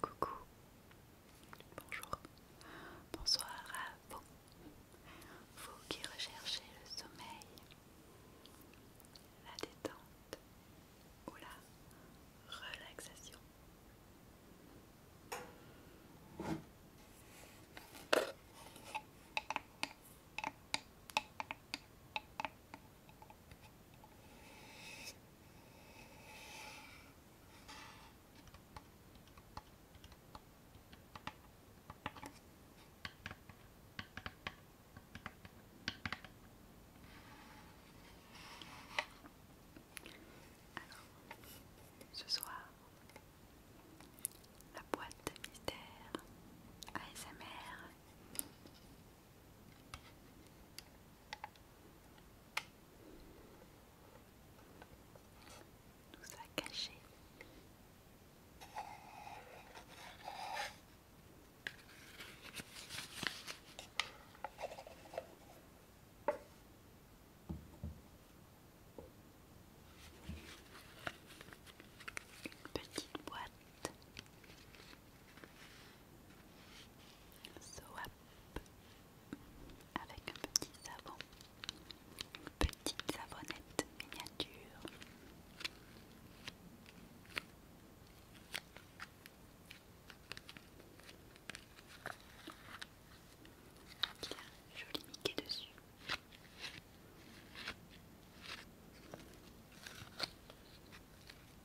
Coucou, bonjour, bonsoir à vous, vous qui recherchez le sommeil, la détente ou la relaxation ce soir, la boîte à mystère ASMR nous ça caché. Une petite boîte Soap avec un petit savon, petite savonnette miniature. joli niqué dessus.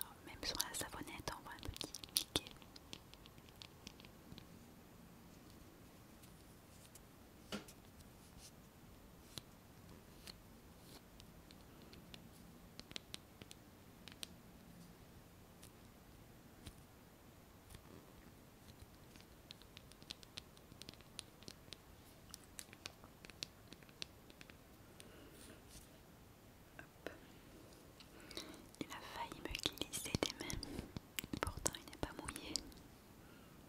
Oh, même sur la savonnette, on voit un petit il a failli me glisser des mains, pourtant il n'est pas mouillé.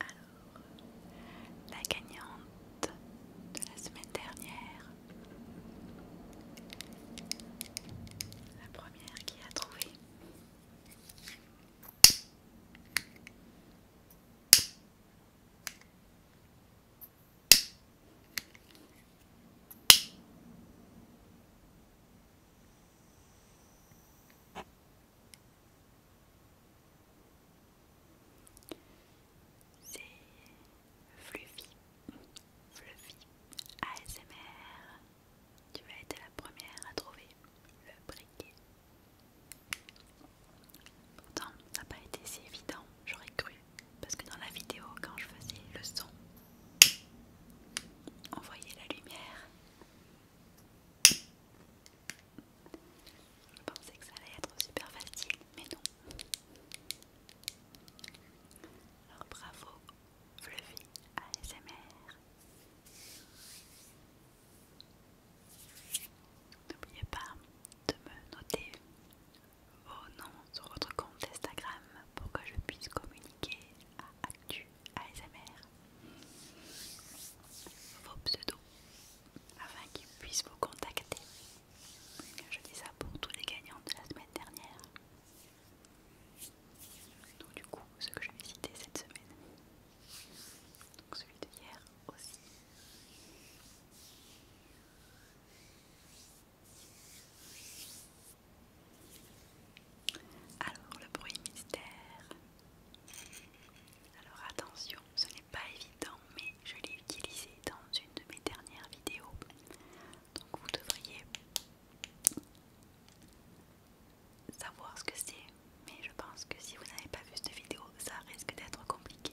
Alors, la gagnante de la semaine dernière, la première qui a trouvé. C'est Fluffy, Fluffy ASMR. Tu as été la première à trouver le briquet. Pourtant, ça n'a pas été si évident, j'aurais cru, parce que dans la vidéo, quand je faisais le son, on voyait la lumière. Je pensais que ça allait être super facile, mais non. Alors bravo, Fluffy ASMR. N'oubliez pas de me noter vos noms sur votre compte Instagram pour que je puisse communiquer à Actu ASMR vos pseudos afin qu'ils puissent vous contacter. Je dis ça pour tous les gagnants de la semaine dernière. Donc du coup, ceux que je vais citer cette semaine, donc celui de hier aussi. Alors, le bruit mystère. Alors attention, ce n'est pas évident, mais je l'ai utilisé dans une de mes dernières vidéos. Donc vous devriez savoir ce que c'est, mais je pense que si vous n'avez pas vu cette vidéo, ça risque d'être compliqué.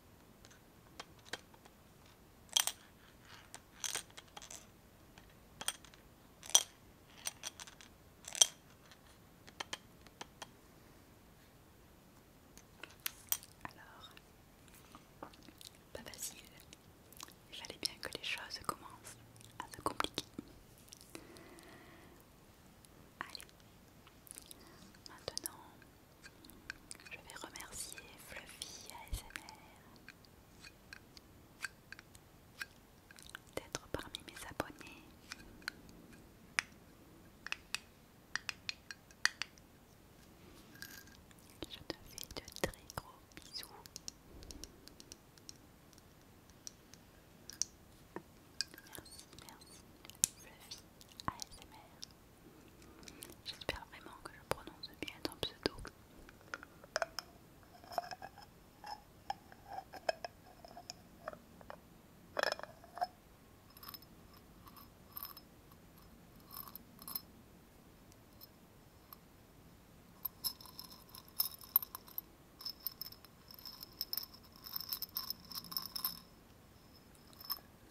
Alors, pas facile. Il fallait bien que les choses commencent à se compliquer. Allez, Maintenant, je vais remercier Fluffy ASMR d'être parmi mes abonnés. Je te fais de très gros bisous. Merci, merci, Fluffy ASMR. J'espère vraiment que je prononce bien ton pseudo.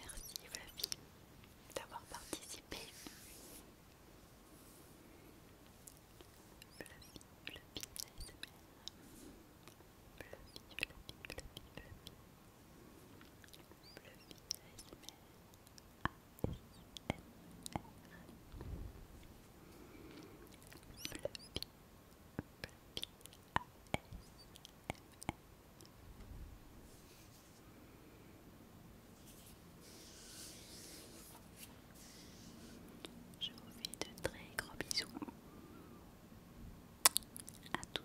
Merci Flavie d'avoir participé. Je vous fais de très gros bisous à tous.